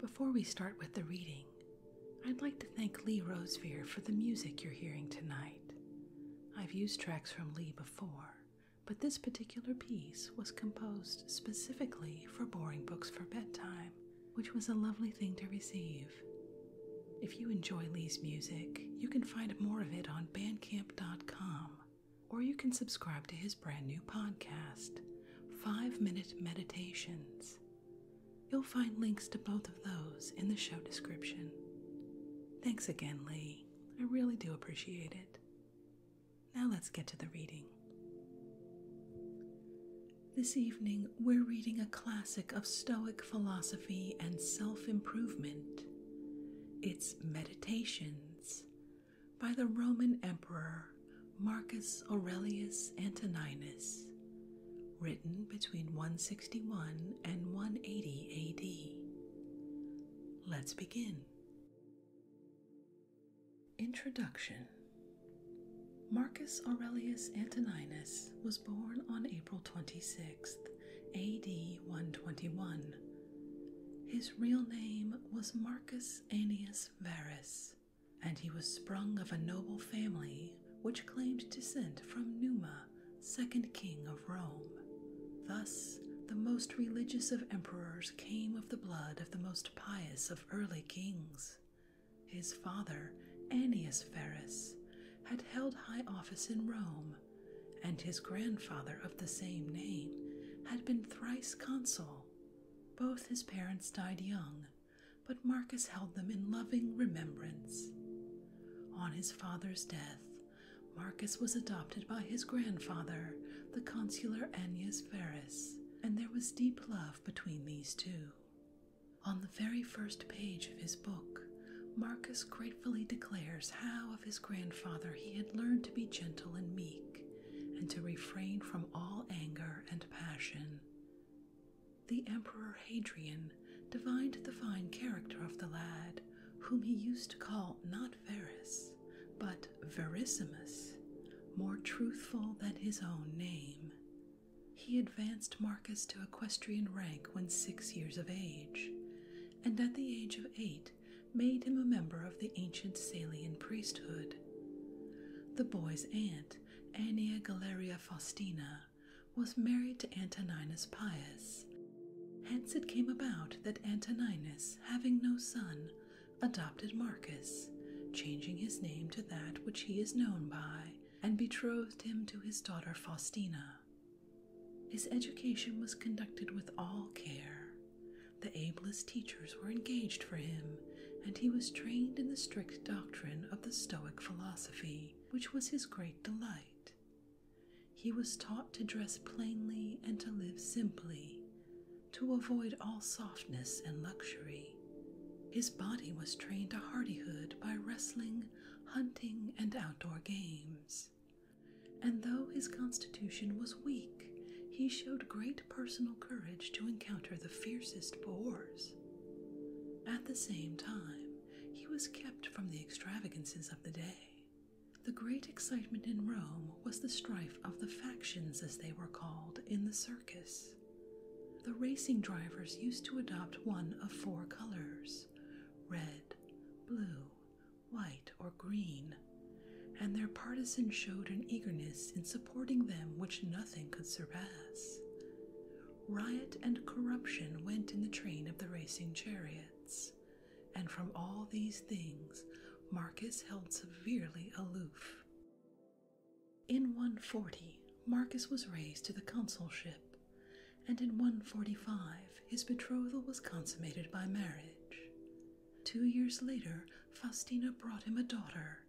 Before we start with the reading, I'd like to thank Lee Rosevere for the music you're hearing tonight. I've used tracks from Lee before, but this particular piece was composed specifically for Boring Books for Bedtime, which was a lovely thing to receive. If you enjoy Lee's music, you can find more of it on bandcamp.com, or you can subscribe to his brand new podcast five minute meditations. You'll find links to both of those in the show description. Thanks again, Lee. I really do appreciate it. Now let's get to the reading. This evening, we're reading a classic of Stoic philosophy and self improvement. It's Meditations by the Roman Emperor Marcus Aurelius Antoninus, written between 161 and 180 AD. Let's begin. Introduction Marcus Aurelius Antoninus was born on April 26, AD 121. His real name was Marcus Annius Verus, and he was sprung of a noble family which claimed descent from Numa, second king of Rome. Thus, the most religious of emperors came of the blood of the most pious of early kings. His father, Annius Verus, had held high office in Rome, and his grandfather of the same name had been thrice consul. Both his parents died young, but Marcus held them in loving remembrance. On his father's death, Marcus was adopted by his grandfather, the consular Annius Verus, and there was deep love between these two. On the very first page of his book, Marcus gratefully declares how of his grandfather he had learned to be gentle and meek, and to refrain from all anger and passion. The Emperor Hadrian divined the fine character of the lad, whom he used to call not Verus, but Verissimus, more truthful than his own name. He advanced Marcus to equestrian rank when six years of age, and at the age of eight made him a member of the ancient Salian priesthood, the boy's aunt, Annia Galeria Faustina, was married to Antoninus Pius. Hence it came about that Antoninus, having no son, adopted Marcus, changing his name to that which he is known by, and betrothed him to his daughter Faustina. His education was conducted with all care, the ablest teachers were engaged for him, and he was trained in the strict doctrine of the Stoic philosophy, which was his great delight. He was taught to dress plainly and to live simply, to avoid all softness and luxury. His body was trained to hardihood by wrestling, hunting, and outdoor games. And though his constitution was weak, he showed great personal courage to encounter the fiercest boars. At the same time, he was kept from the extravagances of the day. The great excitement in Rome was the strife of the factions, as they were called, in the circus. The racing drivers used to adopt one of four colors red, blue, white, or green and their partisans showed an eagerness in supporting them which nothing could surpass. Riot and corruption went in the train of the racing chariots, and from all these things Marcus held severely aloof. In 140, Marcus was raised to the consulship, and in 145 his betrothal was consummated by marriage. Two years later, Faustina brought him a daughter,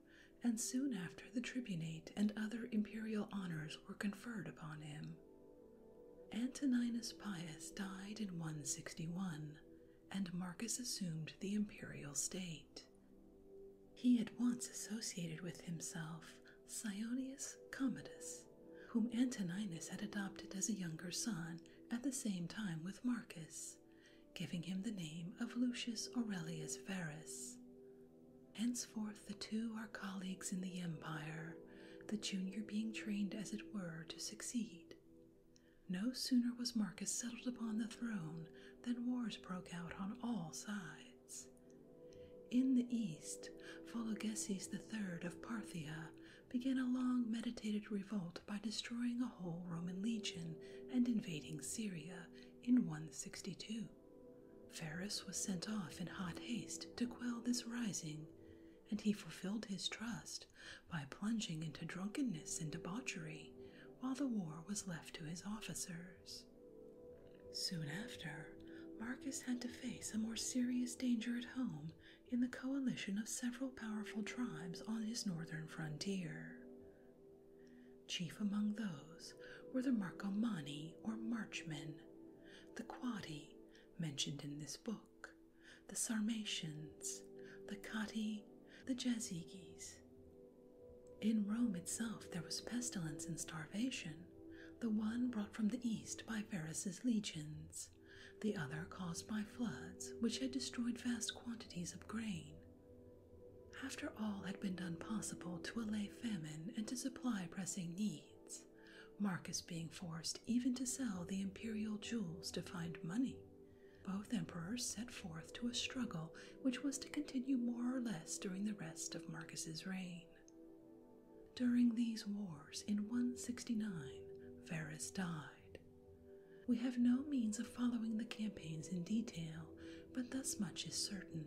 and soon after the tribunate and other imperial honors were conferred upon him. Antoninus Pius died in 161, and Marcus assumed the imperial state. He at once associated with himself Sionius Commodus, whom Antoninus had adopted as a younger son at the same time with Marcus giving him the name of Lucius Aurelius Verus. Henceforth, the two are colleagues in the empire, the junior being trained, as it were, to succeed. No sooner was Marcus settled upon the throne than wars broke out on all sides. In the east, Vologeses III of Parthia began a long meditated revolt by destroying a whole Roman legion and invading Syria in 162. Ferus was sent off in hot haste to quell this rising, and he fulfilled his trust by plunging into drunkenness and debauchery while the war was left to his officers. Soon after, Marcus had to face a more serious danger at home in the coalition of several powerful tribes on his northern frontier. Chief among those were the Marcomanni or Marchmen, the Quadi mentioned in this book, the Sarmatians, the Catti, the Jazyges. In Rome itself there was pestilence and starvation, the one brought from the east by Varus's legions, the other caused by floods which had destroyed vast quantities of grain after all had been done possible to allay famine and to supply pressing needs, Marcus being forced even to sell the imperial jewels to find money, both emperors set forth to a struggle which was to continue more or less during the rest of Marcus's reign. During these wars in 169, Verus died, we have no means of following the campaigns in detail, but thus much is certain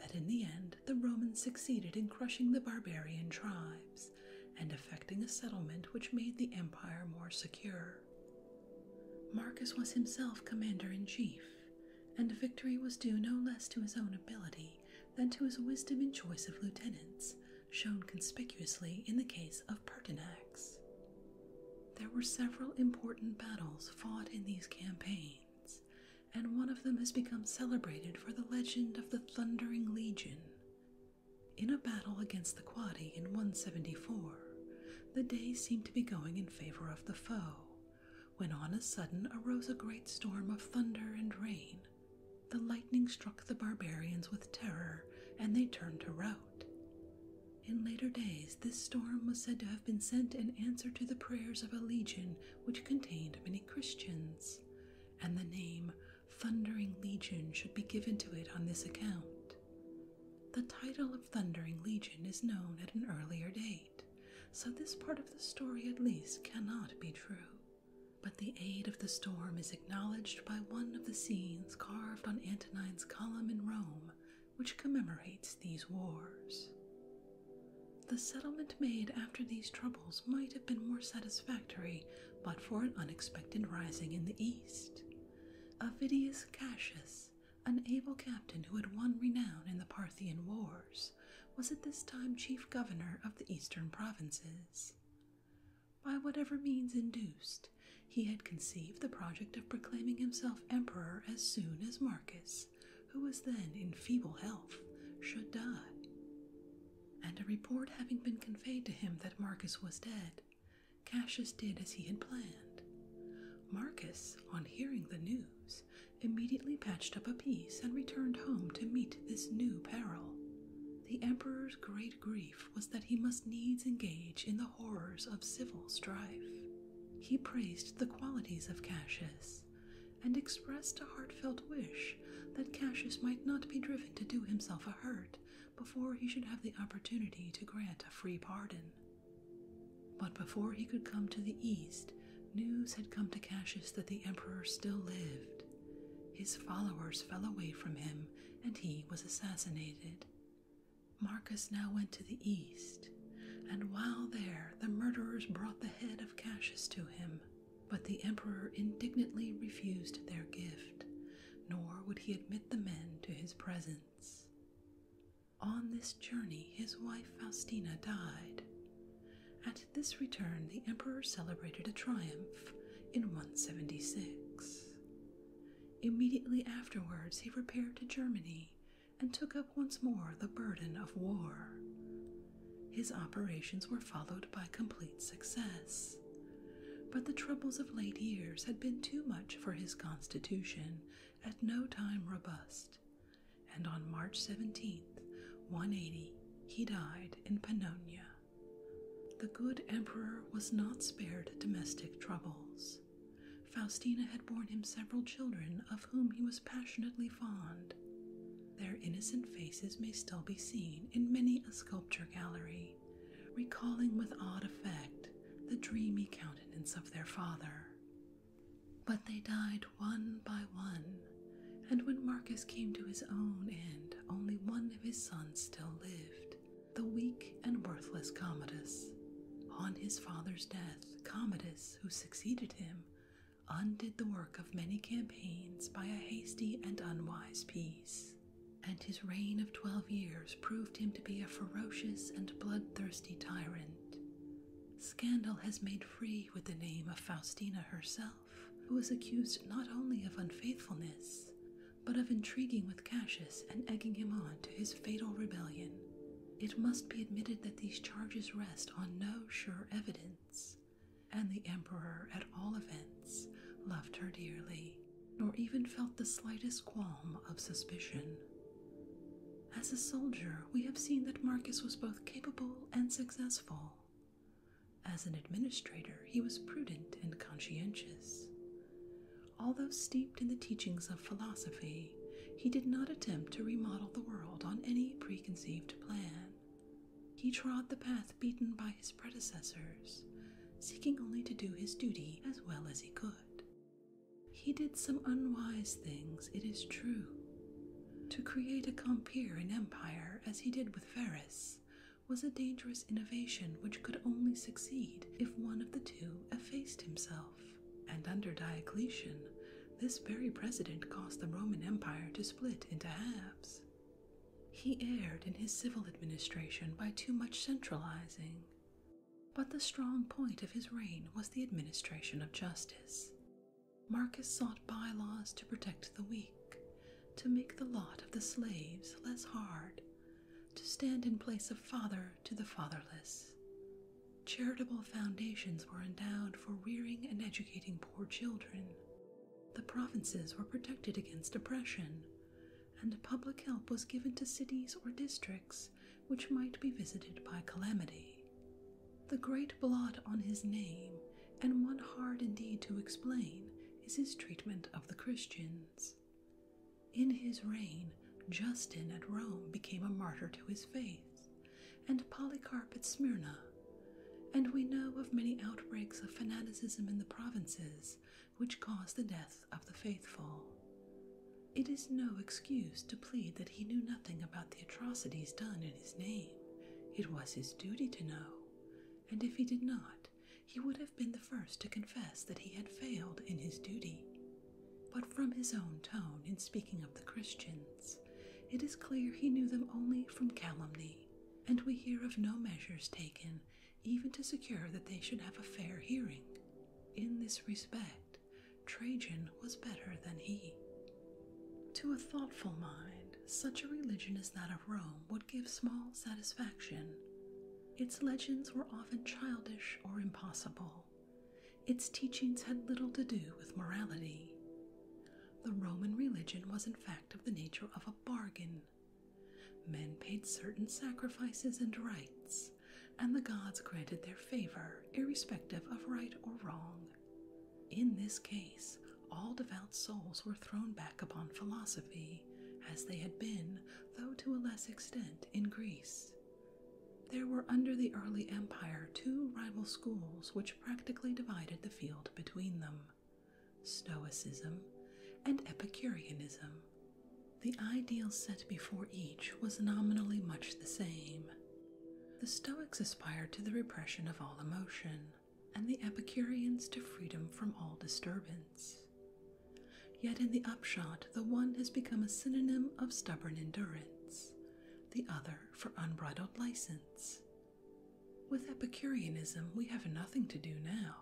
that in the end the Romans succeeded in crushing the barbarian tribes and effecting a settlement which made the empire more secure. Marcus was himself commander in chief, and victory was due no less to his own ability than to his wisdom in choice of lieutenants, shown conspicuously in the case of Pertinax. There were several important battles fought in these campaigns, and one of them has become celebrated for the legend of the Thundering Legion. In a battle against the Quadi in 174, the day seemed to be going in favor of the foe, when on a sudden arose a great storm of thunder and rain. The lightning struck the barbarians with terror, and they turned to rout. In later days, this storm was said to have been sent in answer to the prayers of a legion which contained many Christians, and the name Thundering Legion should be given to it on this account. The title of Thundering Legion is known at an earlier date, so this part of the story at least cannot be true. But the aid of the storm is acknowledged by one of the scenes carved on Antonine's column in Rome which commemorates these wars. The settlement made after these troubles might have been more satisfactory but for an unexpected rising in the east. Avidius Cassius, an able captain who had won renown in the Parthian Wars, was at this time chief governor of the eastern provinces. By whatever means induced, he had conceived the project of proclaiming himself emperor as soon as Marcus, who was then in feeble health, should die. And a report having been conveyed to him that Marcus was dead, Cassius did as he had planned. Marcus, on hearing the news, immediately patched up a piece and returned home to meet this new peril. The emperor's great grief was that he must needs engage in the horrors of civil strife. He praised the qualities of Cassius, and expressed a heartfelt wish that Cassius might not be driven to do himself a hurt before he should have the opportunity to grant a free pardon. But before he could come to the east, news had come to Cassius that the emperor still lived. His followers fell away from him, and he was assassinated. Marcus now went to the east, and while there the murderers brought the head of Cassius to him, but the emperor indignantly refused their gift, nor would he admit the men to his presence. On this journey his wife Faustina died. At this return, the emperor celebrated a triumph in 176. Immediately afterwards, he repaired to Germany and took up once more the burden of war. His operations were followed by complete success, but the troubles of late years had been too much for his constitution, at no time robust, and on March 17th, 180, he died in Pannonia. The good emperor was not spared domestic troubles. Faustina had borne him several children of whom he was passionately fond. Their innocent faces may still be seen in many a sculpture gallery, recalling with odd effect the dreamy countenance of their father. But they died one by one, and when Marcus came to his own end, only one of his sons still lived, the weak and worthless Commodus. On his father's death, Commodus, who succeeded him, undid the work of many campaigns by a hasty and unwise peace, and his reign of twelve years proved him to be a ferocious and bloodthirsty tyrant. Scandal has made free with the name of Faustina herself, who was accused not only of unfaithfulness, but of intriguing with Cassius and egging him on to his fatal rebellion. It must be admitted that these charges rest on no sure evidence, and the Emperor, at all events, loved her dearly, nor even felt the slightest qualm of suspicion. As a soldier, we have seen that Marcus was both capable and successful. As an administrator, he was prudent and conscientious. Although steeped in the teachings of philosophy, he did not attempt to remodel the world on any preconceived plan. He trod the path beaten by his predecessors, seeking only to do his duty as well as he could. He did some unwise things, it is true. To create a Compeer empire, as he did with Varus, was a dangerous innovation which could only succeed if one of the two effaced himself and under Diocletian, this very precedent caused the Roman Empire to split into halves. He erred in his civil administration by too much centralizing. But the strong point of his reign was the administration of justice. Marcus sought bylaws to protect the weak, to make the lot of the slaves less hard, to stand in place of father to the fatherless. Charitable foundations were endowed for rearing and educating poor children. The provinces were protected against oppression, and public help was given to cities or districts which might be visited by calamity. The great blot on his name, and one hard indeed to explain, is his treatment of the Christians. In his reign, Justin at Rome became a martyr to his faith, and Polycarp at Smyrna, and we know of many outbreaks of fanaticism in the provinces which caused the death of the faithful. It is no excuse to plead that he knew nothing about the atrocities done in his name. It was his duty to know, and if he did not, he would have been the first to confess that he had failed in his duty. But from his own tone in speaking of the Christians, it is clear he knew them only from calumny, and we hear of no measures taken even to secure that they should have a fair hearing. In this respect, Trajan was better than he. To a thoughtful mind, such a religion as that of Rome would give small satisfaction. Its legends were often childish or impossible. Its teachings had little to do with morality. The Roman religion was, in fact, of the nature of a bargain. Men paid certain sacrifices and rites, and the gods granted their favor, irrespective of right or wrong. In this case, all devout souls were thrown back upon philosophy, as they had been, though to a less extent, in Greece. There were under the early empire two rival schools which practically divided the field between them Stoicism and Epicureanism. The ideal set before each was nominally much the same. The Stoics aspired to the repression of all emotion, and the Epicureans to freedom from all disturbance. Yet, in the upshot, the one has become a synonym of stubborn endurance, the other for unbridled license. With Epicureanism, we have nothing to do now,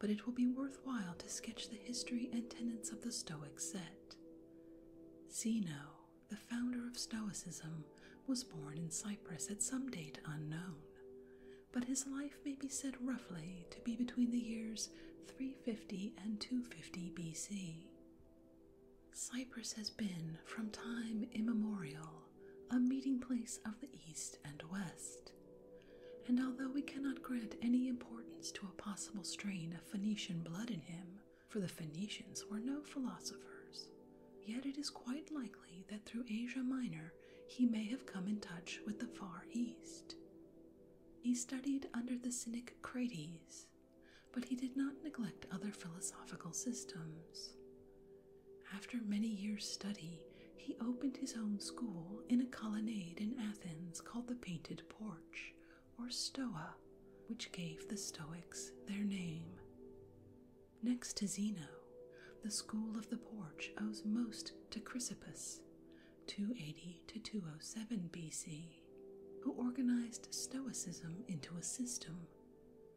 but it will be worthwhile to sketch the history and tenets of the Stoic set. Zeno, the founder of Stoicism, was born in Cyprus at some date unknown, but his life may be said roughly to be between the years 350 and 250 BC. Cyprus has been, from time immemorial, a meeting place of the East and West. And although we cannot grant any importance to a possible strain of Phoenician blood in him, for the Phoenicians were no philosophers, yet it is quite likely that through Asia Minor he may have come in touch with the Far East. He studied under the cynic Crates, but he did not neglect other philosophical systems. After many years' study, he opened his own school in a colonnade in Athens called the Painted Porch, or Stoa, which gave the Stoics their name. Next to Zeno, the school of the porch owes most to Chrysippus, 280 to 207 BC, who organized Stoicism into a system.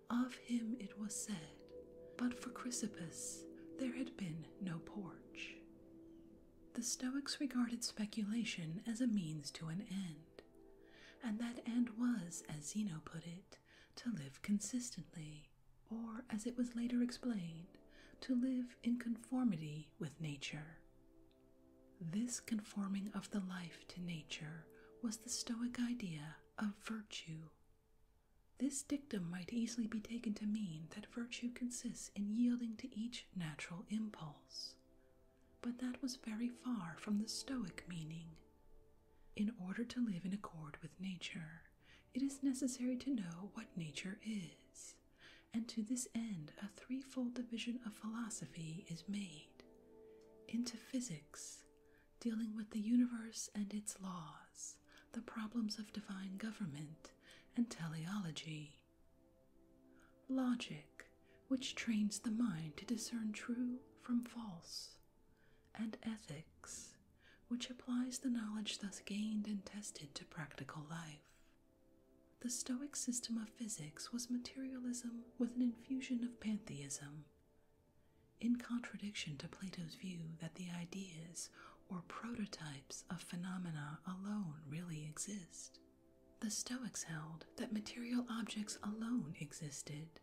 Of him it was said, But for Chrysippus there had been no porch. The Stoics regarded speculation as a means to an end, and that end was, as Zeno put it, to live consistently, or as it was later explained, to live in conformity with nature. This conforming of the life to nature was the Stoic idea of virtue. This dictum might easily be taken to mean that virtue consists in yielding to each natural impulse. But that was very far from the Stoic meaning. In order to live in accord with nature, it is necessary to know what nature is and to this end a threefold division of philosophy is made into physics, dealing with the universe and its laws, the problems of divine government, and teleology. Logic, which trains the mind to discern true from false, and ethics, which applies the knowledge thus gained and tested to practical life. The Stoic system of physics was materialism with an infusion of pantheism. In contradiction to Plato's view that the ideas or prototypes of phenomena alone really exist, the Stoics held that material objects alone existed,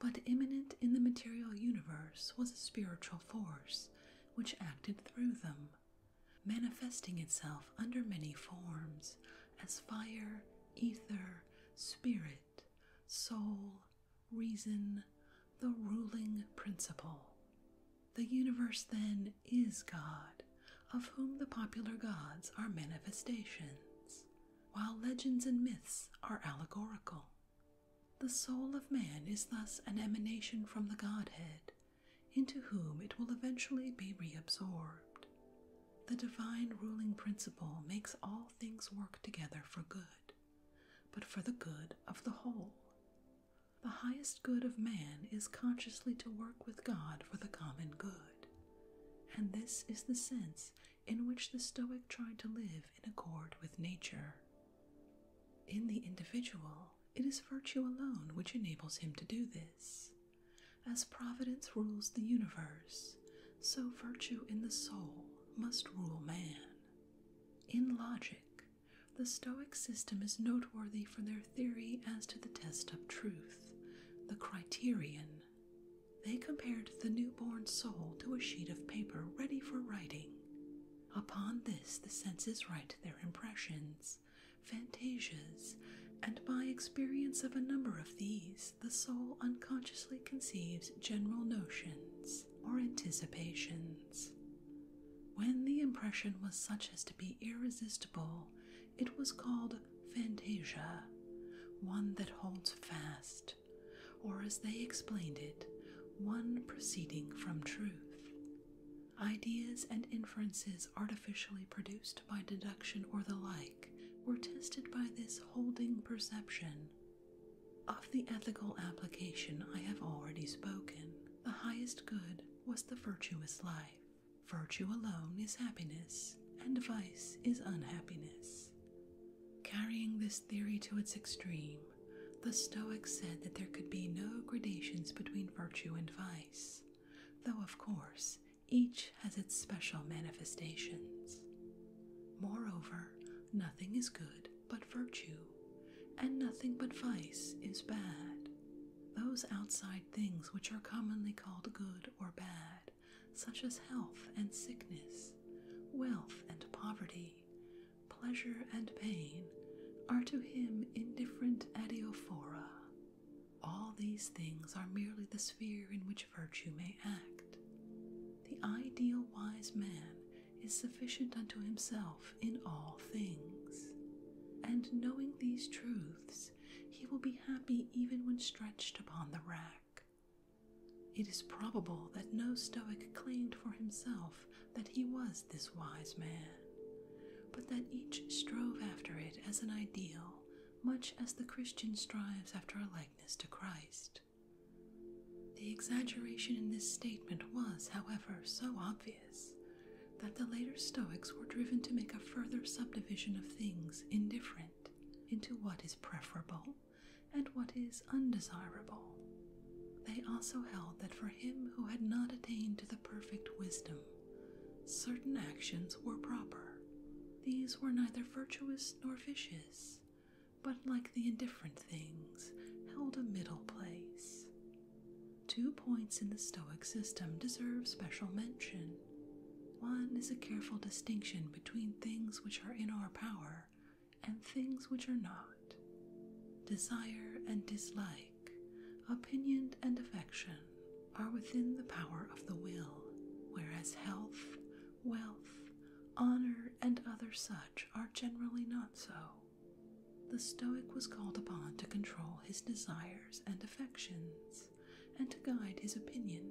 but immanent in the material universe was a spiritual force which acted through them manifesting itself under many forms as fire, ether, spirit, soul, reason, the ruling principle. The universe, then, is God, of whom the popular gods are manifestations, while legends and myths are allegorical. The soul of man is thus an emanation from the Godhead into whom it will eventually be reabsorbed. The divine ruling principle makes all things work together for good, but for the good of the whole. The highest good of man is consciously to work with God for the common good, and this is the sense in which the Stoic tried to live in accord with nature. In the individual, it is virtue alone which enables him to do this. As providence rules the universe, so virtue in the soul must rule man. In logic, the Stoic system is noteworthy for their theory as to the test of truth, the criterion. They compared the newborn soul to a sheet of paper ready for writing. Upon this, the senses write their impressions, fantasias, and by experience of a number of these, the soul unconsciously conceives general notions or anticipations. When the impression was such as to be irresistible, it was called fantasia, one that holds fast, or as they explained it, one proceeding from truth. Ideas and inferences artificially produced by deduction or the like were tested by this holding perception. Of the ethical application I have already spoken, the highest good was the virtuous life. Virtue alone is happiness, and vice is unhappiness. Carrying this theory to its extreme, the Stoics said that there could be no gradations between virtue and vice though, of course, each has its special manifestations. Moreover, nothing is good but virtue, and nothing but vice is bad. Those outside things which are commonly called good or bad, such as health and sickness, wealth and poverty, pleasure and pain, are to him indifferent adiaphora. All these things are merely the sphere in which virtue may act. The ideal wise man is sufficient unto himself in all things. And knowing these truths, he will be happy even when stretched upon the rack. It is probable that no Stoic claimed for himself that he was this wise man, but that each strove after it as an ideal, much as the Christian strives after a likeness to Christ. The exaggeration in this statement was, however, so obvious that the later Stoics were driven to make a further subdivision of things indifferent into what is preferable and what is undesirable. They also held that for him who had not attained to the perfect wisdom, certain actions were proper. These were neither virtuous nor vicious, but like the indifferent things, held a middle place. Two points in the Stoic system deserve special mention. One is a careful distinction between things which are in our power and things which are not. Desire and dislike opinion, and affection are within the power of the will, whereas health, wealth, honor, and other such are generally not so. The Stoic was called upon to control his desires and affections, and to guide his opinion,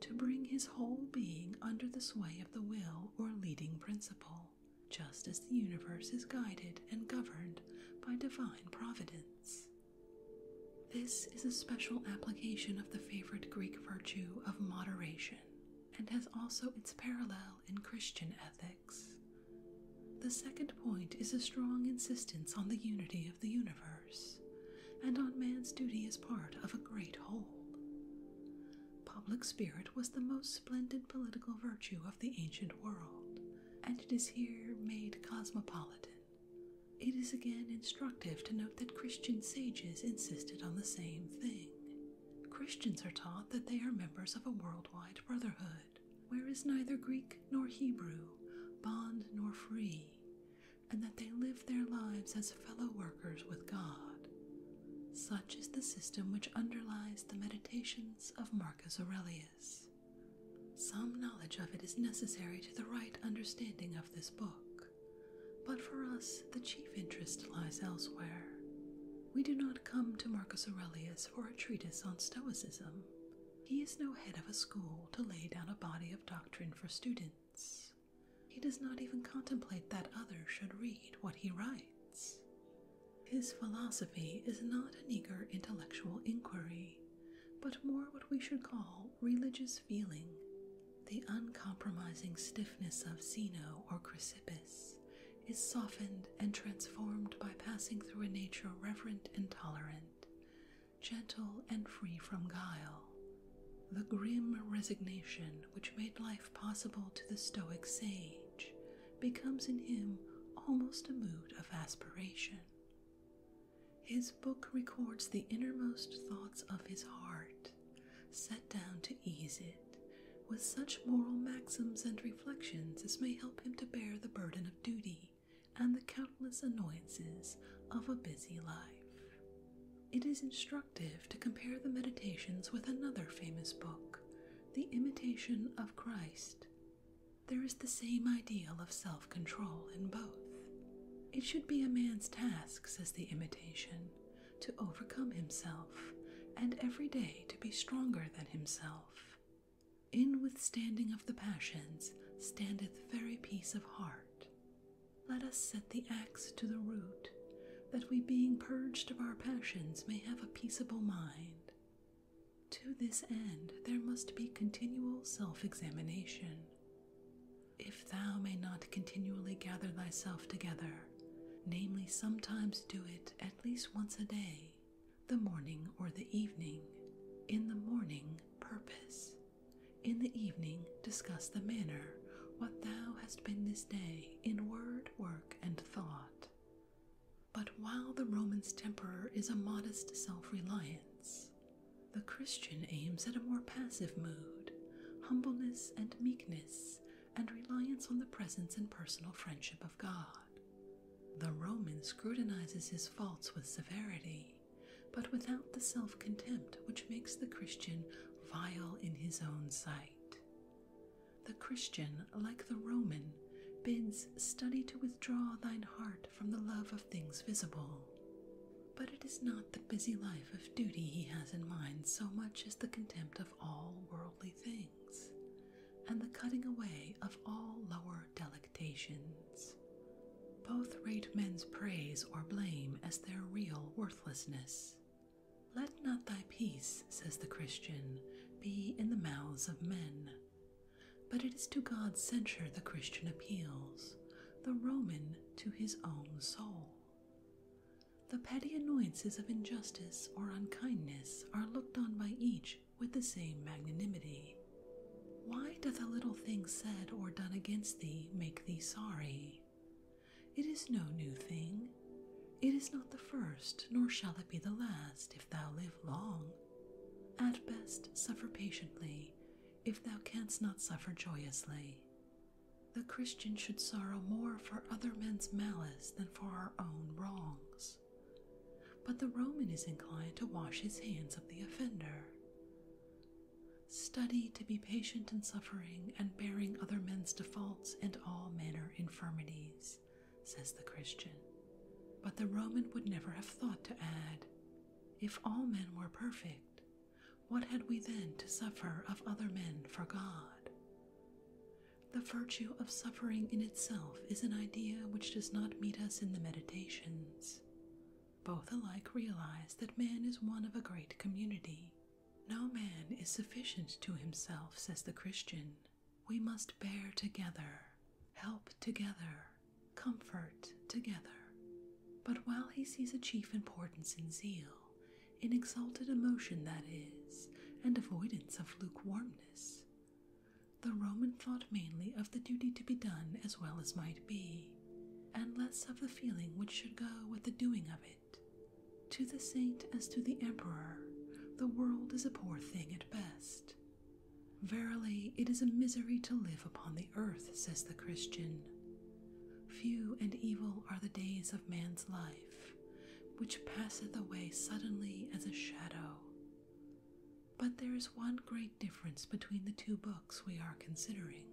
to bring his whole being under the sway of the will or leading principle just as the universe is guided and governed by divine providence. This is a special application of the favorite Greek virtue of moderation, and has also its parallel in Christian ethics. The second point is a strong insistence on the unity of the universe, and on man's duty as part of a great whole. Public spirit was the most splendid political virtue of the ancient world, and it is here made cosmopolitan. It is again instructive to note that Christian sages insisted on the same thing. Christians are taught that they are members of a worldwide brotherhood, where is neither Greek nor Hebrew, bond nor free, and that they live their lives as fellow workers with God. Such is the system which underlies the meditations of Marcus Aurelius. Some knowledge of it is necessary to the right understanding of this book, but for us the chief interest lies elsewhere. We do not come to Marcus Aurelius for a treatise on Stoicism. He is no head of a school to lay down a body of doctrine for students. He does not even contemplate that others should read what he writes. His philosophy is not an eager intellectual inquiry, but more what we should call religious feeling. The uncompromising stiffness of Zeno or Chrysippus is softened and transformed by passing through a nature reverent and tolerant, gentle and free from guile. The grim resignation which made life possible to the Stoic sage becomes in him almost a mood of aspiration. His book records the innermost thoughts of his heart, set down to ease it, with such moral maxims and reflections as may help him to bear the burden of duty and the countless annoyances of a busy life. It is instructive to compare the meditations with another famous book, The Imitation of Christ, there is the same ideal of self control in both. It should be a man's task, says the imitation, to overcome himself, and every day to be stronger than himself. In withstanding of the passions standeth very peace of heart. Let us set the axe to the root, that we, being purged of our passions, may have a peaceable mind, to this end, there must be continual self examination. If thou may not continually gather thyself together, namely, sometimes do it at least once a day, the morning or the evening, in the morning, purpose, in the evening, discuss the manner, what thou hast been this day, in word, work, and thought. But while the Roman's temper is a modest self reliance, the Christian aims at a more passive mood, humbleness and meekness, and reliance on the presence and personal friendship of God. The Roman scrutinizes his faults with severity, but without the self contempt which makes the Christian vile in his own sight. The Christian, like the Roman, bids study to withdraw thine heart from the love of things visible. But it is not the busy life of duty he has in mind so much as the contempt of all worldly things, and the cutting away of all lower delectations. Both rate men's praise or blame as their real worthlessness. Let not thy peace, says the Christian, be in the mouths of men, but it is to God's censure the Christian appeals, the Roman to his own soul. The petty annoyances of injustice or unkindness are looked on by each with the same magnanimity. Why doth a little thing said or done against thee make thee sorry? It is no new thing. It is not the first, nor shall it be the last, if thou live long. At best, suffer patiently, if thou canst not suffer joyously. The Christian should sorrow more for other men's malice than for our own wrongs. But the Roman is inclined to wash his hands of the offender. Study to be patient in suffering and bearing other men's defaults and all manner infirmities, says the Christian. But the Roman would never have thought to add, If all men were perfect, what had we then to suffer of other men for God? The virtue of suffering in itself is an idea which does not meet us in the Meditations. Both alike realize that man is one of a great community. No man is sufficient to himself, says the Christian, we must bear together, help together, comfort together. But while he sees a chief importance in zeal, in exalted emotion that is, and avoidance of lukewarmness, the Roman thought mainly of the duty to be done as well as might be, and less of the feeling which should go with the doing of it. To the saint as to the emperor, the world is a poor thing at best, Verily, it is a misery to live upon the earth, says the Christian. Few and evil are the days of man's life, which passeth away suddenly as a shadow. But there is one great difference between the two books we are considering.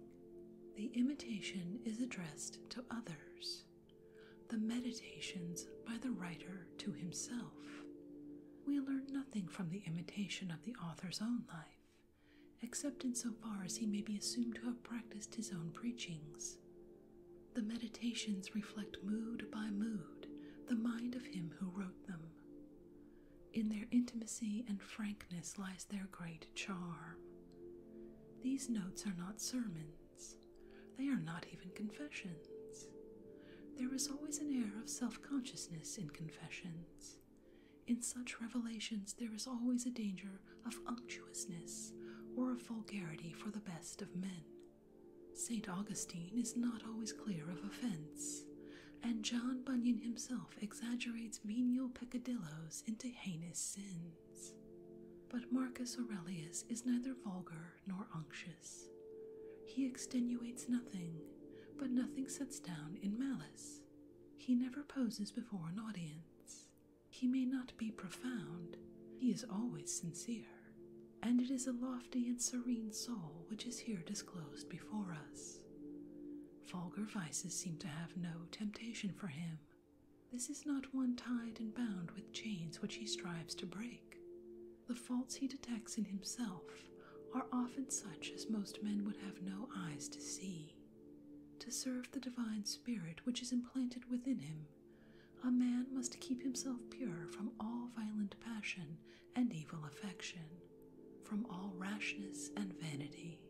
The imitation is addressed to others, the meditations by the writer to himself we learn nothing from the imitation of the author's own life, except in so far as he may be assumed to have practiced his own preachings. The meditations reflect mood by mood the mind of him who wrote them. In their intimacy and frankness lies their great charm. These notes are not sermons, they are not even confessions. There is always an air of self consciousness in confessions. In such revelations, there is always a danger of unctuousness or of vulgarity for the best of men. St. Augustine is not always clear of offense, and John Bunyan himself exaggerates venial peccadilloes into heinous sins. But Marcus Aurelius is neither vulgar nor unctuous. He extenuates nothing, but nothing sets down in malice. He never poses before an audience. He may not be profound, he is always sincere, and it is a lofty and serene soul which is here disclosed before us. Vulgar vices seem to have no temptation for him. This is not one tied and bound with chains which he strives to break. The faults he detects in himself are often such as most men would have no eyes to see. To serve the divine spirit which is implanted within him, a man must keep himself pure from all violent passion and evil affection, from all rashness and vanity,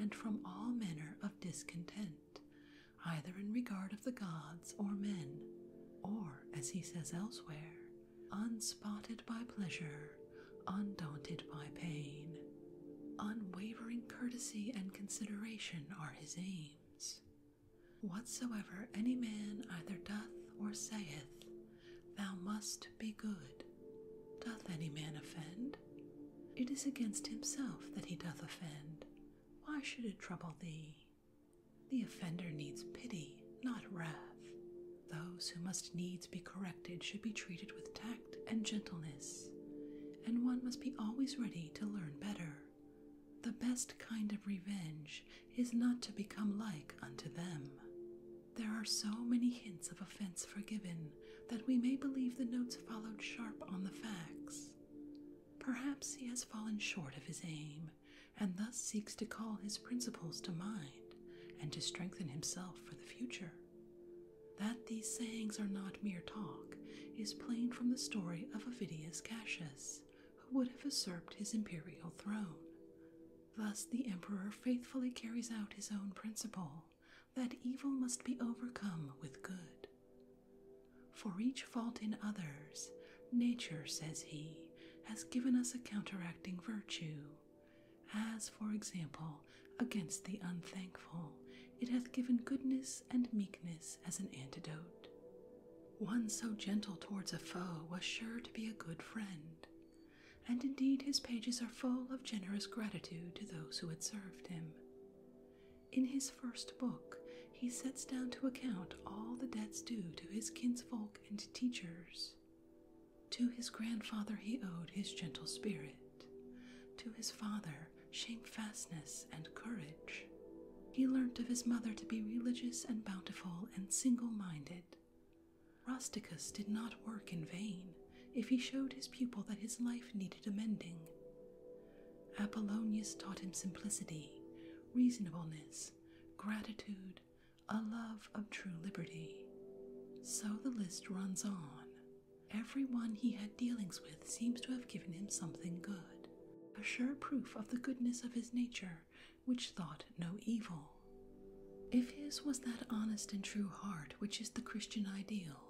and from all manner of discontent, either in regard of the gods or men, or, as he says elsewhere, unspotted by pleasure, undaunted by pain. Unwavering courtesy and consideration are his aims. Whatsoever any man either doth or saith, thou must be good. Doth any man offend? It is against himself that he doth offend. Why should it trouble thee? The offender needs pity, not wrath. Those who must needs be corrected should be treated with tact and gentleness, and one must be always ready to learn better. The best kind of revenge is not to become like unto them. There are so many hints of offense forgiven that we may believe the notes followed sharp on the facts. Perhaps he has fallen short of his aim, and thus seeks to call his principles to mind and to strengthen himself for the future. That these sayings are not mere talk is plain from the story of Avidius Cassius, who would have usurped his imperial throne. Thus, the emperor faithfully carries out his own principle that evil must be overcome with good. For each fault in others, Nature, says he, has given us a counteracting virtue. As, for example, against the unthankful, it hath given goodness and meekness as an antidote. One so gentle towards a foe was sure to be a good friend, and indeed his pages are full of generous gratitude to those who had served him. In his first book, he sets down to account all the debts due to his kinsfolk and teachers. To his grandfather he owed his gentle spirit, to his father shamefastness and courage. He learnt of his mother to be religious and bountiful and single minded. Rusticus did not work in vain if he showed his pupil that his life needed amending. Apollonius taught him simplicity, reasonableness, gratitude, a love of true liberty. So the list runs on. Every one he had dealings with seems to have given him something good, a sure proof of the goodness of his nature, which thought no evil. If his was that honest and true heart which is the Christian ideal,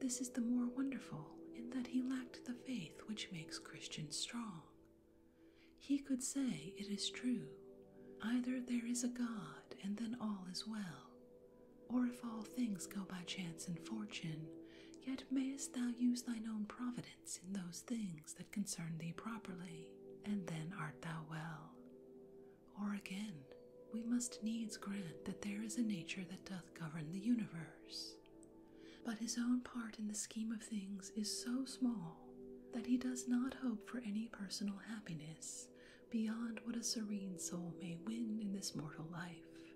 this is the more wonderful in that he lacked the faith which makes Christians strong. He could say, It is true. Either there is a God, and then all is well, or if all things go by chance and fortune, yet mayest thou use thine own providence in those things that concern thee properly, and then art thou well. Or again, we must needs grant that there is a nature that doth govern the universe, but his own part in the scheme of things is so small that he does not hope for any personal happiness beyond what a serene soul may win in this mortal life.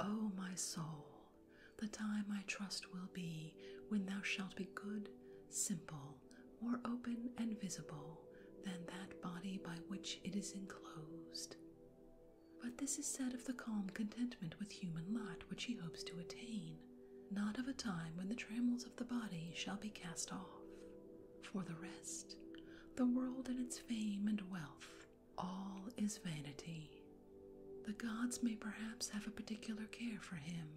O oh, my soul, the time I trust will be when thou shalt be good, simple, more open and visible than that body by which it is enclosed. But this is said of the calm contentment with human lot which he hopes to attain, not of a time when the trammels of the body shall be cast off. For the rest, the world and its fame and wealth, all is vanity. The gods may perhaps have a particular care for him,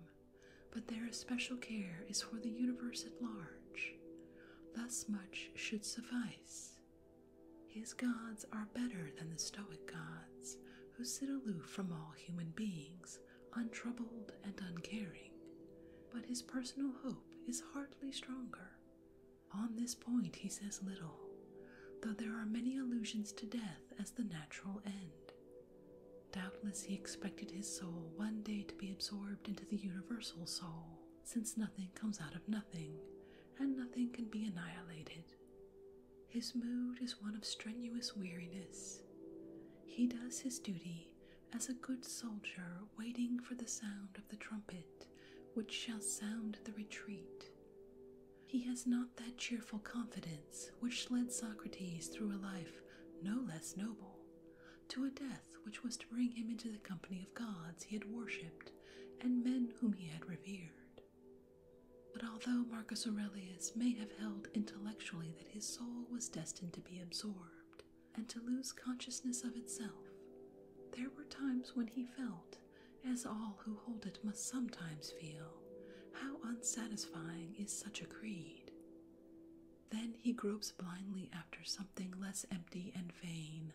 but their especial care is for the universe at large. Thus much should suffice. His gods are better than the Stoic gods, who sit aloof from all human beings, untroubled and uncaring. But his personal hope is hardly stronger. On this point he says little, though there are many allusions to death as the natural end. Doubtless he expected his soul one day to be absorbed into the universal soul, since nothing comes out of nothing, and nothing can be annihilated. His mood is one of strenuous weariness. He does his duty as a good soldier waiting for the sound of the trumpet which shall sound the retreat. He has not that cheerful confidence which led Socrates through a life no less noble to a death which was to bring him into the company of gods he had worshipped and men whom he had revered. But although Marcus Aurelius may have held intellectually that his soul was destined to be absorbed and to lose consciousness of itself, there were times when he felt, as all who hold it must sometimes feel, how unsatisfying is such a creed. Then he gropes blindly after something less empty and vain.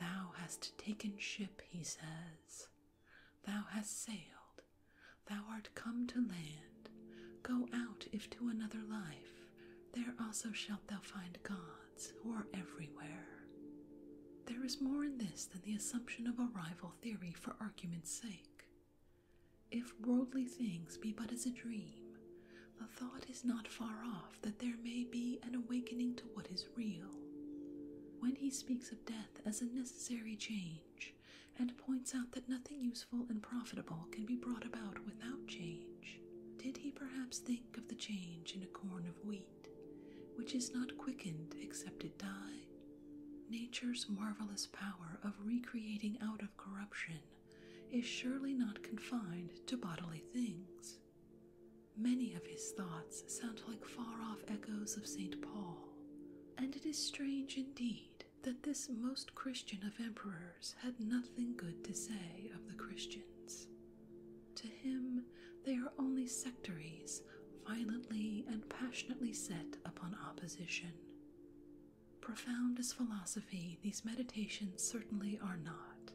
Thou hast taken ship, he says, Thou hast sailed, thou art come to land. Go out if to another life, there also shalt thou find gods who are everywhere. There is more in this than the assumption of a rival theory for argument's sake. If worldly things be but as a dream, the thought is not far off that there may be an awakening to what is real. When he speaks of death as a necessary change, and points out that nothing useful and profitable can be brought about without change. Did he perhaps think of the change in a corn of wheat, which is not quickened except it die? Nature's marvelous power of recreating out of corruption is surely not confined to bodily things. Many of his thoughts sound like far off echoes of St. Paul, and it is strange indeed that this most Christian of emperors had nothing good to say of the Christians. To him, they are only sectaries violently and passionately set upon opposition. Profound as philosophy, these meditations certainly are not,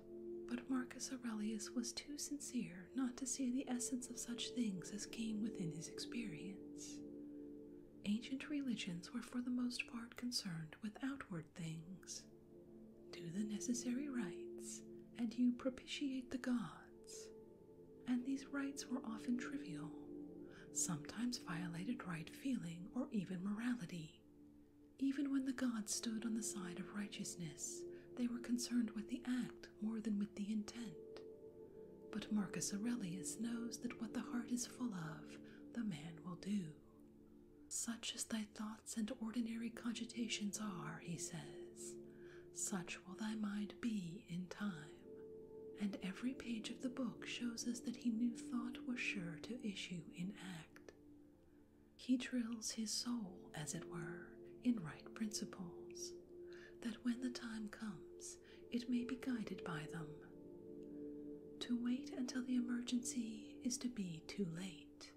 but Marcus Aurelius was too sincere not to see the essence of such things as came within his experience. Ancient religions were for the most part concerned with outward things. Do the necessary rites, and you propitiate the gods. And these rites were often trivial, sometimes violated right feeling or even morality. Even when the gods stood on the side of righteousness, they were concerned with the act more than with the intent. But Marcus Aurelius knows that what the heart is full of, the man will do. Such as thy thoughts and ordinary cogitations are, he says, such will thy mind be in time. And every page of the book shows us that he knew thought was sure to issue in act. He drills his soul, as it were, in right principles, that when the time comes, it may be guided by them. To wait until the emergency is to be too late.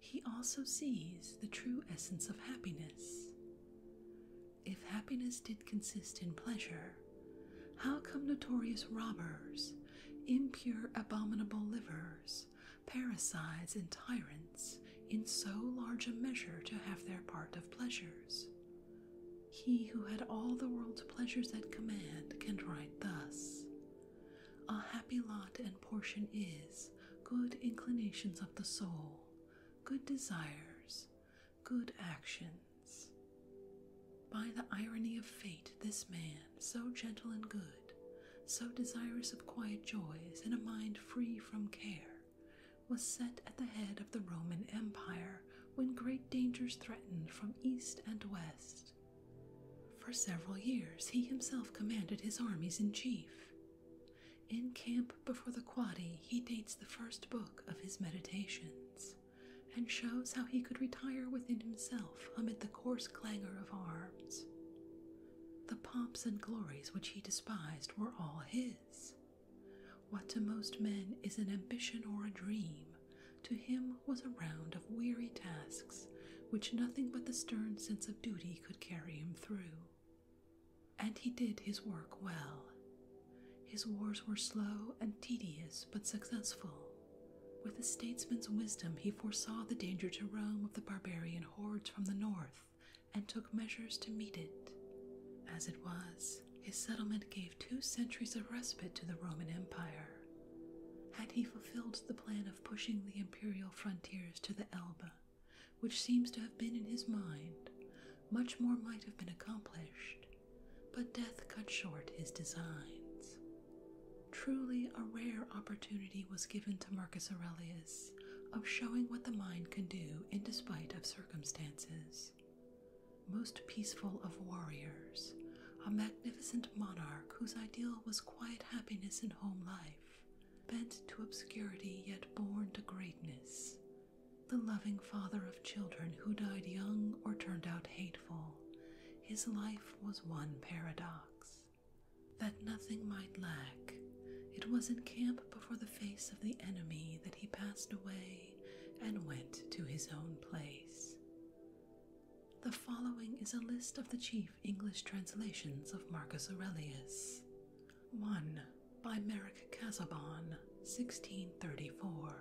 He also sees the true essence of happiness. If happiness did consist in pleasure, how come notorious robbers, impure, abominable livers, parasites, and tyrants? in so large a measure to have their part of pleasures. He who had all the world's pleasures at command can write thus A happy lot and portion is good inclinations of the soul, good desires, good actions. By the irony of fate, this man, so gentle and good, so desirous of quiet joys and a mind free from care, was set at the head of the Roman Empire when great dangers threatened from east and west. For several years, he himself commanded his armies in chief. In camp before the Quadi, he dates the first book of his meditations and shows how he could retire within himself amid the coarse clangor of arms. The pomps and glories which he despised were all his, what to most men is an ambition or a dream, to him was a round of weary tasks which nothing but the stern sense of duty could carry him through. And he did his work well. His wars were slow and tedious but successful. With a statesman's wisdom, he foresaw the danger to Rome of the barbarian hordes from the north and took measures to meet it. As it was, his settlement gave two centuries of respite to the Roman Empire. Had he fulfilled the plan of pushing the imperial frontiers to the Elbe, which seems to have been in his mind, much more might have been accomplished, but death cut short his designs. Truly, a rare opportunity was given to Marcus Aurelius of showing what the mind can do in despite of circumstances. Most peaceful of warriors, a magnificent monarch whose ideal was quiet happiness in home life, bent to obscurity yet born to greatness, the loving father of children who died young or turned out hateful, his life was one paradox. That nothing might lack, it was in camp before the face of the enemy that he passed away and went to his own place. The following is a list of the chief English translations of Marcus Aurelius. 1. By Merrick Casaubon, 1634.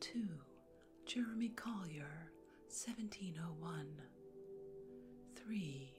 2. Jeremy Collier, 1701. 3.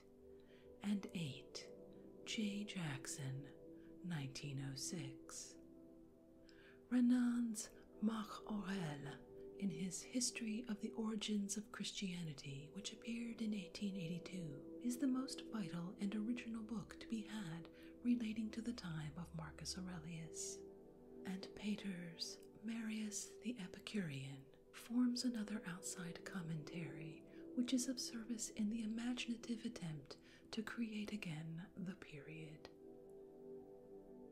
and 8 J. Jackson, 1906. Renan's Marc Aurel, in his History of the Origins of Christianity, which appeared in 1882, is the most vital and original book to be had relating to the time of Marcus Aurelius. And Pater's Marius the Epicurean forms another outside commentary which is of service in the imaginative attempt to create again the period.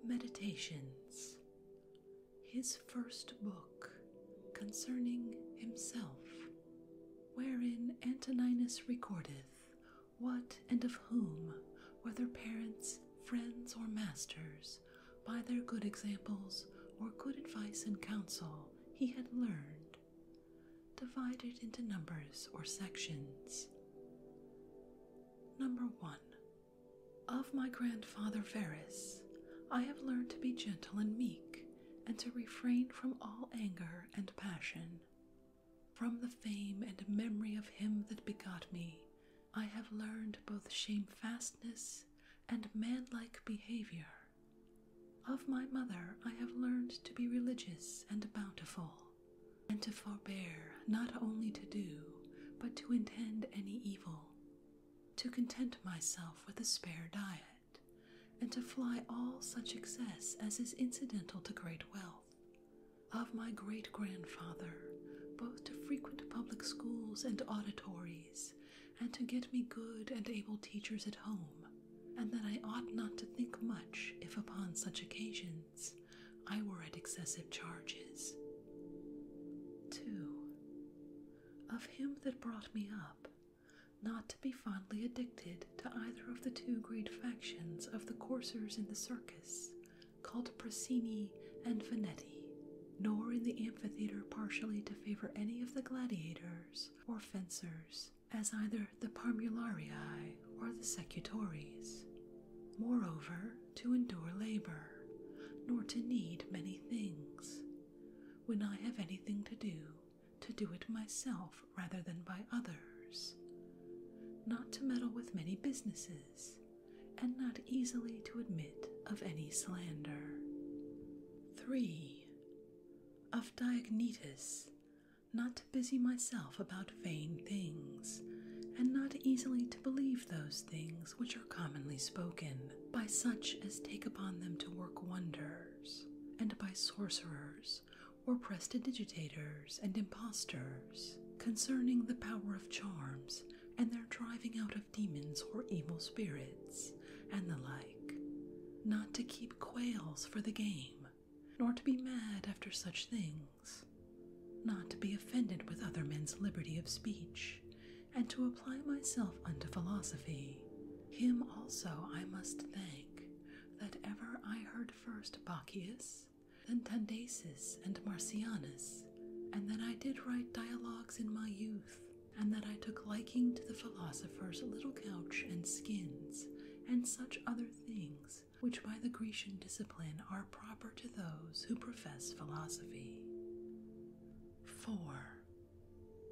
Meditations, his first book concerning himself, wherein Antoninus recordeth what and of whom, whether parents, friends, or masters, by their good examples or good advice and counsel, he had learned divided into numbers or sections. Number 1. Of my grandfather Verus, I have learned to be gentle and meek, and to refrain from all anger and passion. From the fame and memory of him that begot me, I have learned both shamefastness and manlike behavior. Of my mother I have learned to be religious and bountiful, and to forbear not only to do, but to intend any evil, to content myself with a spare diet, and to fly all such excess as is incidental to great wealth. Of my great grandfather, both to frequent public schools and auditories, and to get me good and able teachers at home, and that I ought not to think much if upon such occasions I were at excessive charges. 2. Of him that brought me up, not to be fondly addicted to either of the two great factions of the coursers in the circus, called Prasini and Finetti, nor in the amphitheatre partially to favor any of the gladiators or fencers, as either the Parmularii or the Secutores, moreover, to endure labor, nor to need many things. When I have anything to do, to do it myself rather than by others, not to meddle with many businesses, and not easily to admit of any slander. 3 of Diognetus, not to busy myself about vain things, and not easily to believe those things which are commonly spoken by such as take upon them to work wonders, and by sorcerers or prestidigitators and impostors, concerning the power of charms and their driving out of demons or evil spirits, and the like. Not to keep quails for the game, nor to be mad after such things, not to be offended with other men's liberty of speech, and to apply myself unto philosophy. Him also I must thank, that ever I heard first Bacchius, then Tandasis and Marcianus, and that I did write dialogues in my youth, and that I took liking to the philosophy First, little couch and skins, and such other things, which by the Grecian discipline are proper to those who profess philosophy. 4.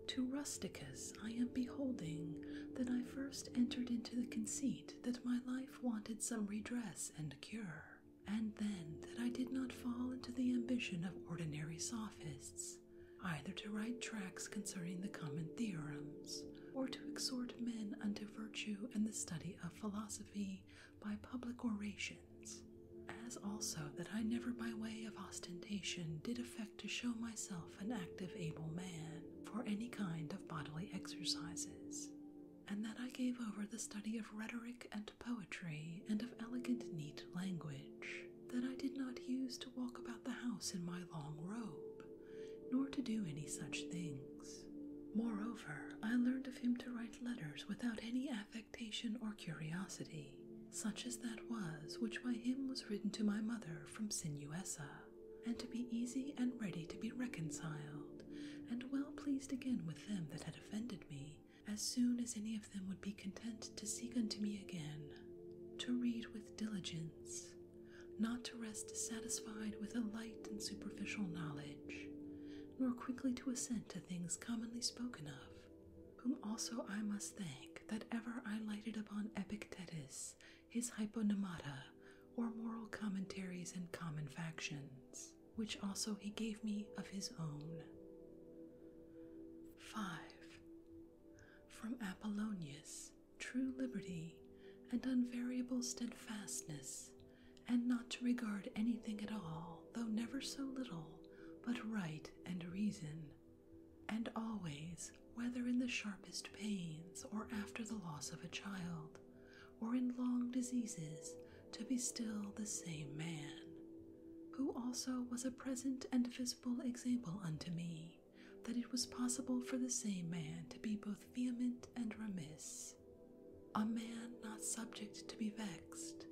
To Rusticus I am beholding that I first entered into the conceit that my life wanted some redress and cure, and then that I did not fall into the ambition of ordinary sophists, either to write tracts concerning the common theorems, or to exhort men unto virtue and the study of philosophy by public orations, as also that I never by way of ostentation did affect to show myself an active able man for any kind of bodily exercises. And that I gave over the study of rhetoric and poetry and of elegant, neat language, that I did not use to walk about the house in my long robe, nor to do any such things. Moreover, I learned of him to write letters without any affectation or curiosity, such as that was which by him was written to my mother from Sinuessa, and to be easy and ready to be reconciled, and well pleased again with them that had offended me, as soon as any of them would be content to seek unto me again, to read with diligence, not to rest satisfied with a light and superficial knowledge, nor quickly to assent to things commonly spoken of, whom also I must thank that ever I lighted upon Epictetus, his Hyponemata, or moral commentaries and common factions, which also he gave me of his own. 5. From Apollonius, true liberty, and unvariable steadfastness, and not to regard anything at all, though never so little, but right and reason, and always, whether in the sharpest pains, or after the loss of a child, or in long diseases, to be still the same man, who also was a present and visible example unto me that it was possible for the same man to be both vehement and remiss, a man not subject to be vexed,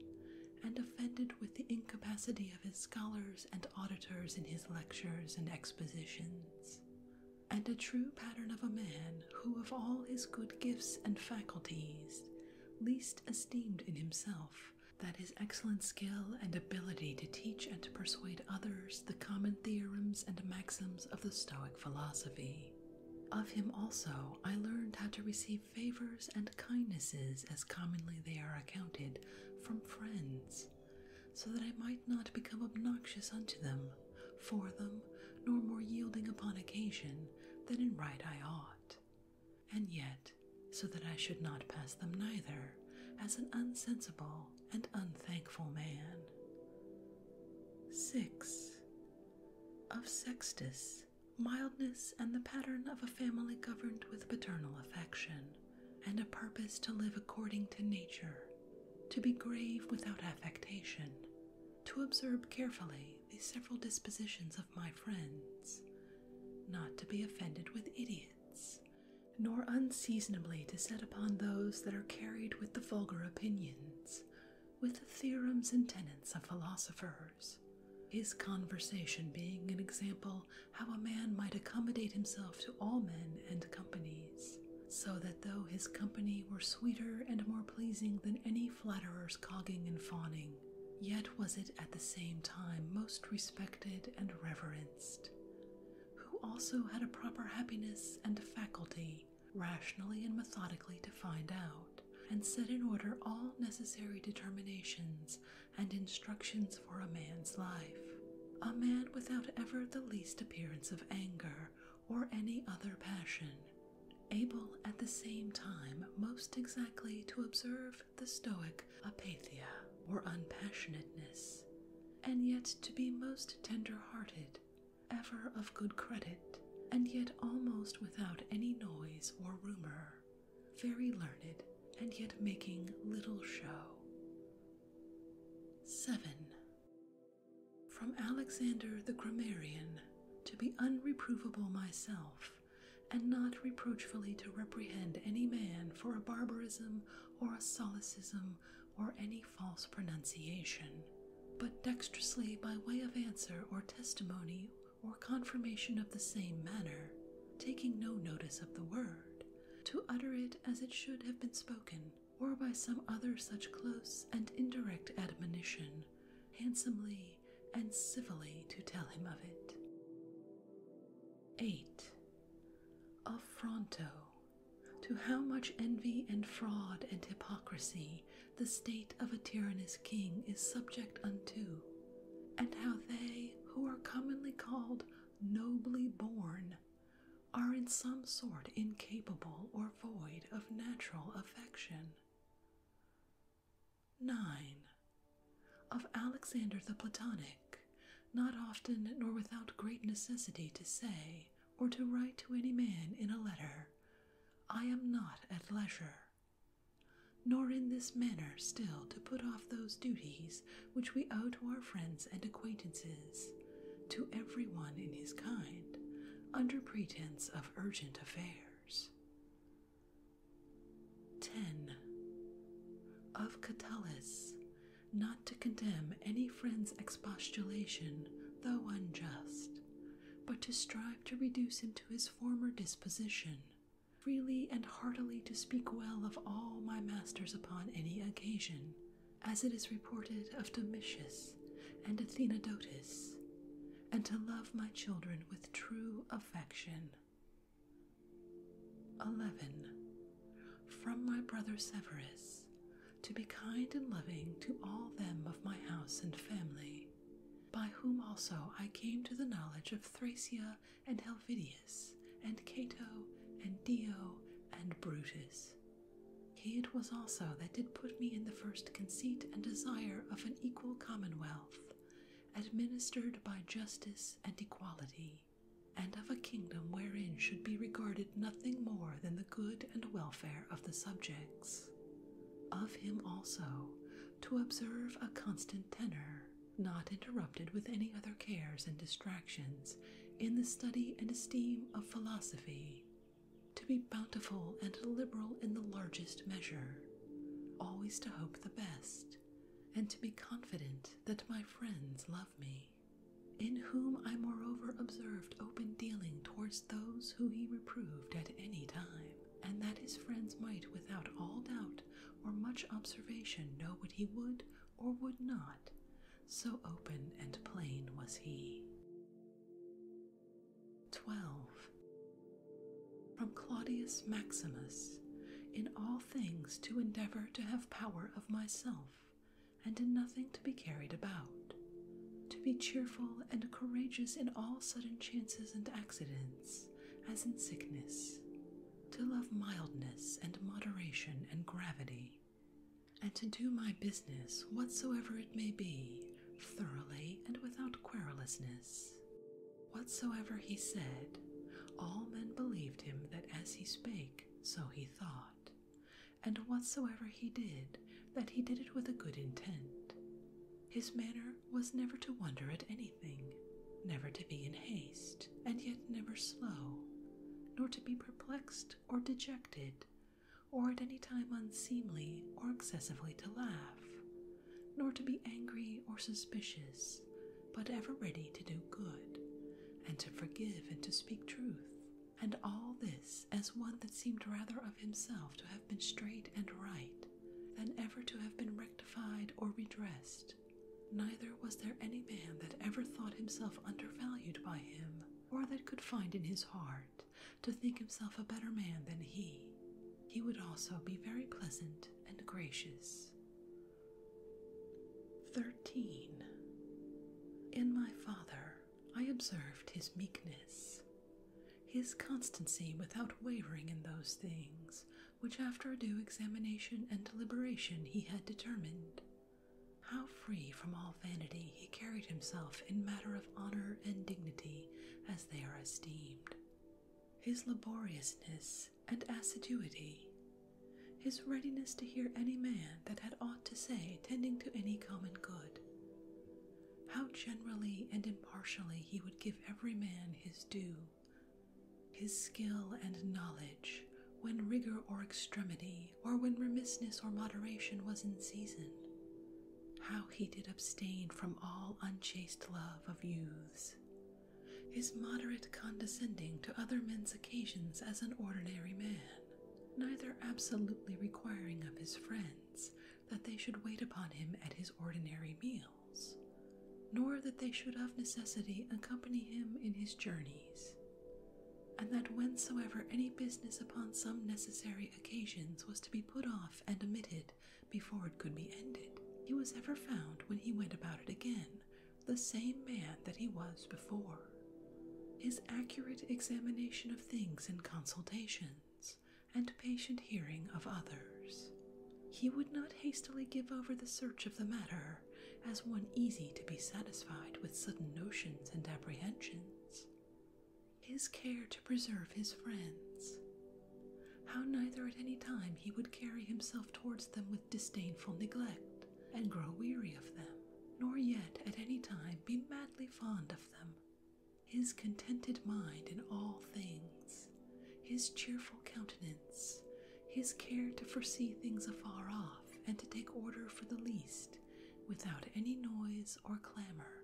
and offended with the incapacity of his scholars and auditors in his lectures and expositions, and a true pattern of a man who, of all his good gifts and faculties, least esteemed in himself that his excellent skill and ability to teach and to persuade others the common theorems and maxims of the Stoic philosophy. Of him also I learned how to receive favors and kindnesses as commonly they are accounted from friends, so that I might not become obnoxious unto them, for them, nor more yielding upon occasion than in right I ought, and yet so that I should not pass them neither as an unsensible and unthankful man. 6. Of Sextus, mildness and the pattern of a family governed with paternal affection, and a purpose to live according to nature, to be grave without affectation, to observe carefully the several dispositions of my friends, not to be offended with idiots, nor unseasonably to set upon those that are carried with the vulgar opinions, with the theorems and tenets of philosophers. His conversation being an example how a man might accommodate himself to all men and companies, so that though his company were sweeter and more pleasing than any flatterer's cogging and fawning, yet was it at the same time most respected and reverenced who also had a proper happiness and faculty, rationally and methodically to find out, and set in order all necessary determinations and instructions for a man's life. A man without ever the least appearance of anger or any other passion, able at the same time most exactly to observe the Stoic apatheia or unpassionateness, and yet to be most tender hearted, ever of good credit, and yet almost without any noise or rumour, very learned, and yet making little show. 7. From Alexander the Grammarian, to be unreprovable myself, and not reproachfully to reprehend any man for a barbarism or a solecism or any false pronunciation, but dexterously by way of answer or testimony or confirmation of the same manner, taking no notice of the word, to utter it as it should have been spoken, or by some other such close and indirect admonition, handsomely and civilly to tell him of it. 8 of Fronto to how much envy and fraud and hypocrisy the state of a tyrannous king is subject unto, and how they who are commonly called nobly born are in some sort incapable or void of natural affection. 9. Of Alexander the Platonic, not often nor without great necessity to say or to write to any man in a letter, I am not at leisure, nor in this manner still to put off those duties which we owe to our friends and acquaintances, to every one in his kind, under pretence of urgent affairs. 10. Of Catullus, not to condemn any friend's expostulation, though unjust, but to strive to reduce him to his former disposition, freely and heartily to speak well of all my masters upon any occasion, as it is reported of Domitius and Athenodotus, and to love my children with true affection. 11. From my brother Severus, to be kind and loving to all them of my house and family, by whom also I came to the knowledge of Thracia and Helvidius, and Cato, and Dio, and Brutus. He it was also that did put me in the first conceit and desire of an equal commonwealth, administered by justice and equality and of a kingdom wherein should be regarded nothing more than the good and welfare of the subjects. Of him also, to observe a constant tenor, not interrupted with any other cares and distractions, in the study and esteem of philosophy, to be bountiful and liberal in the largest measure, always to hope the best, and to be confident that my friends love me in whom I moreover observed open dealing towards those who he reproved at any time, and that his friends might without all doubt or much observation know what he would or would not, so open and plain was he. 12. From Claudius Maximus in all things to endeavour to have power of myself, and in nothing to be carried about, to be cheerful and courageous in all sudden chances and accidents, as in sickness, to love mildness and moderation and gravity, and to do my business, whatsoever it may be, thoroughly and without querulousness. Whatsoever he said, all men believed him that as he spake, so he thought, and whatsoever he did, that he did it with a good intent. His manner was never to wonder at anything, never to be in haste, and yet never slow, nor to be perplexed or dejected, or at any time unseemly or excessively to laugh, nor to be angry or suspicious, but ever ready to do good, and to forgive and to speak truth, and all this as one that seemed rather of himself to have been straight and right than ever to have been rectified or redressed. Neither was there any man that ever thought himself undervalued by him, or that could find in his heart to think himself a better man than he. He would also be very pleasant and gracious. 13. In my father, I observed his meekness, his constancy without wavering in those things which, after a due examination and deliberation, he had determined. How free from all vanity he carried himself in matter of honor and dignity as they are esteemed. His laboriousness and assiduity, his readiness to hear any man that had aught to say tending to any common good, how generally and impartially he would give every man his due, his skill and knowledge when rigour or extremity, or when remissness or moderation was in season, how he did abstain from all unchaste love of youths, his moderate condescending to other men's occasions as an ordinary man, neither absolutely requiring of his friends that they should wait upon him at his ordinary meals, nor that they should of necessity accompany him in his journeys, and that whensoever any business upon some necessary occasions was to be put off and omitted before it could be ended, he was ever found when he went about it again the same man that he was before. His accurate examination of things in consultations and patient hearing of others. He would not hastily give over the search of the matter as one easy to be satisfied with sudden notions and apprehensions. His care to preserve his friends. How neither at any time he would carry himself towards them with disdainful neglect, and grow weary of them, nor yet at any time be madly fond of them. His contented mind in all things, his cheerful countenance, his care to foresee things afar off, and to take order for the least, without any noise or clamour.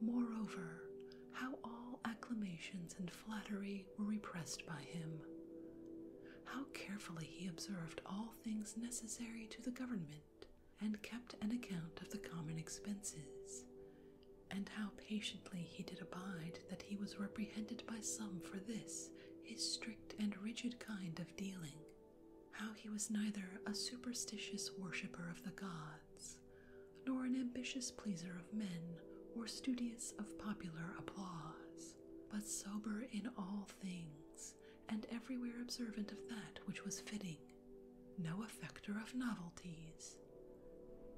Moreover, how all acclamations and flattery were repressed by him how carefully he observed all things necessary to the government, and kept an account of the common expenses, and how patiently he did abide that he was reprehended by some for this, his strict and rigid kind of dealing, how he was neither a superstitious worshipper of the gods, nor an ambitious pleaser of men, or studious of popular applause but sober in all things, and everywhere observant of that which was fitting, no affecter of novelties.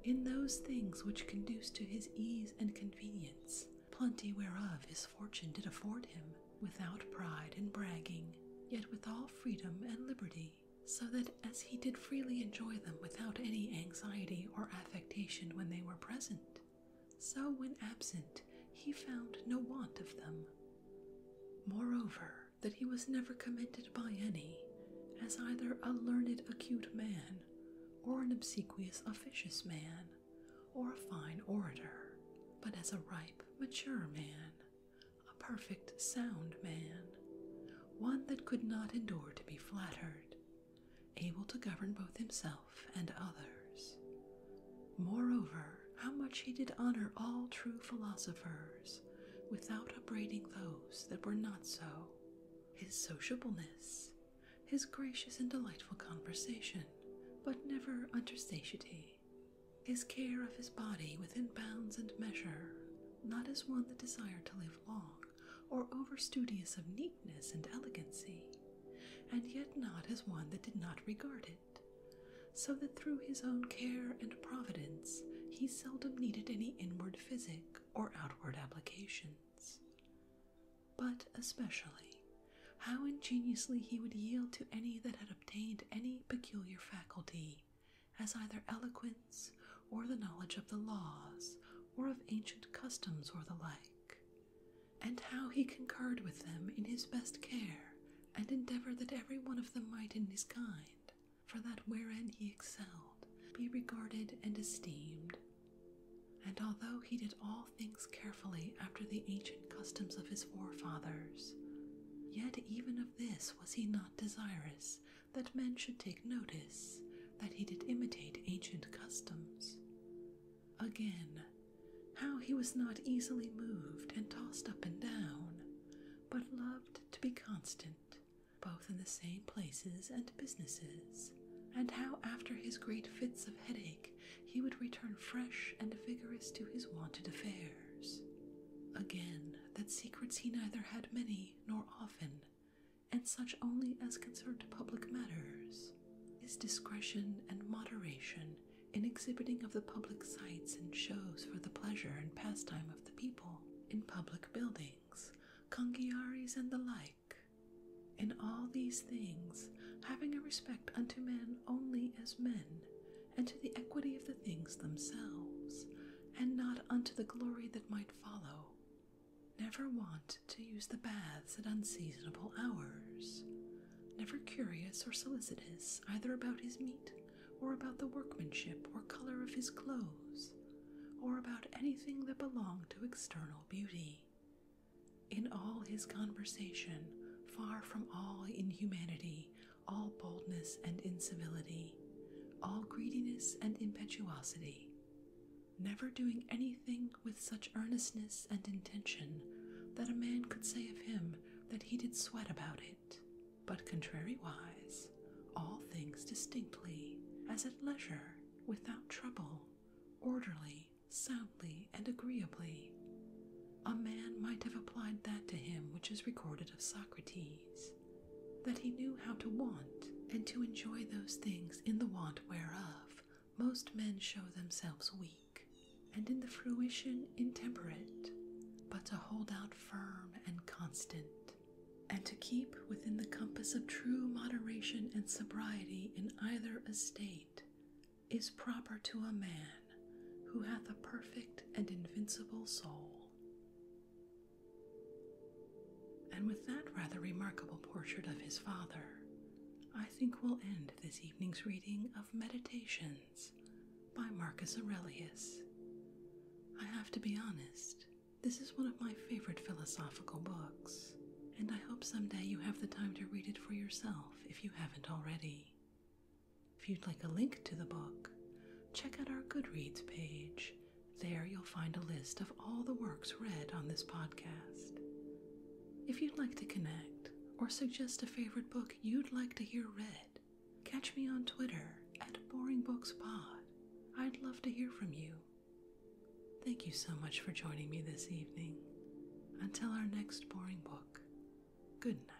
In those things which conduce to his ease and convenience, plenty whereof his fortune did afford him, without pride and bragging, yet with all freedom and liberty, so that as he did freely enjoy them without any anxiety or affectation when they were present, so when absent he found no want of them. Moreover, that he was never commended by any, as either a learned acute man, or an obsequious officious man, or a fine orator, but as a ripe, mature man, a perfect, sound man, one that could not endure to be flattered, able to govern both himself and others. Moreover, how much he did honor all true philosophers without upbraiding those that were not so. His sociableness, his gracious and delightful conversation, but never unto satiety, his care of his body within bounds and measure, not as one that desired to live long or over studious of neatness and elegancy, and yet not as one that did not regard it, so that through his own care and providence he seldom needed any inward physic or outward applications. But especially, how ingeniously he would yield to any that had obtained any peculiar faculty, as either eloquence or the knowledge of the laws, or of ancient customs or the like, and how he concurred with them in his best care, and endeavoured that every one of them might in his kind, for that wherein he excelled, be regarded and esteemed. And although he did all things carefully after the ancient customs of his forefathers, yet even of this was he not desirous that men should take notice that he did imitate ancient customs. Again, how he was not easily moved and tossed up and down, but loved to be constant, both in the same places and businesses, and how after his great fits of headache he would return fresh and vigorous to his wonted affairs. Again, that secrets he neither had many nor often, and such only as concerned public matters is discretion and moderation in exhibiting of the public sights and shows for the pleasure and pastime of the people, in public buildings, congiaries, and the like. In all these things, having a respect unto men only as men, and to the equity of the things themselves, and not unto the glory that might follow, Never want to use the baths at unseasonable hours. Never curious or solicitous either about his meat, or about the workmanship or color of his clothes, or about anything that belonged to external beauty. In all his conversation, far from all inhumanity, all boldness and incivility, all greediness and impetuosity, never doing anything with such earnestness and intention that a man could say of him that he did sweat about it, but contrariwise, all things distinctly, as at leisure, without trouble, orderly, soundly, and agreeably. A man might have applied that to him which is recorded of Socrates, that he knew how to want and to enjoy those things in the want whereof most men show themselves weak and in the fruition intemperate, but to hold out firm and constant, and to keep within the compass of true moderation and sobriety in either estate, is proper to a man who hath a perfect and invincible soul. And with that rather remarkable portrait of his father, I think we'll end this evening's reading of Meditations by Marcus Aurelius. I have to be honest, this is one of my favorite philosophical books, and I hope someday you have the time to read it for yourself if you haven't already. If you'd like a link to the book, check out our Goodreads page. There you'll find a list of all the works read on this podcast. If you'd like to connect or suggest a favorite book you'd like to hear read, catch me on Twitter at BoringBooksPod. I'd love to hear from you. Thank you so much for joining me this evening. Until our next boring book, good night.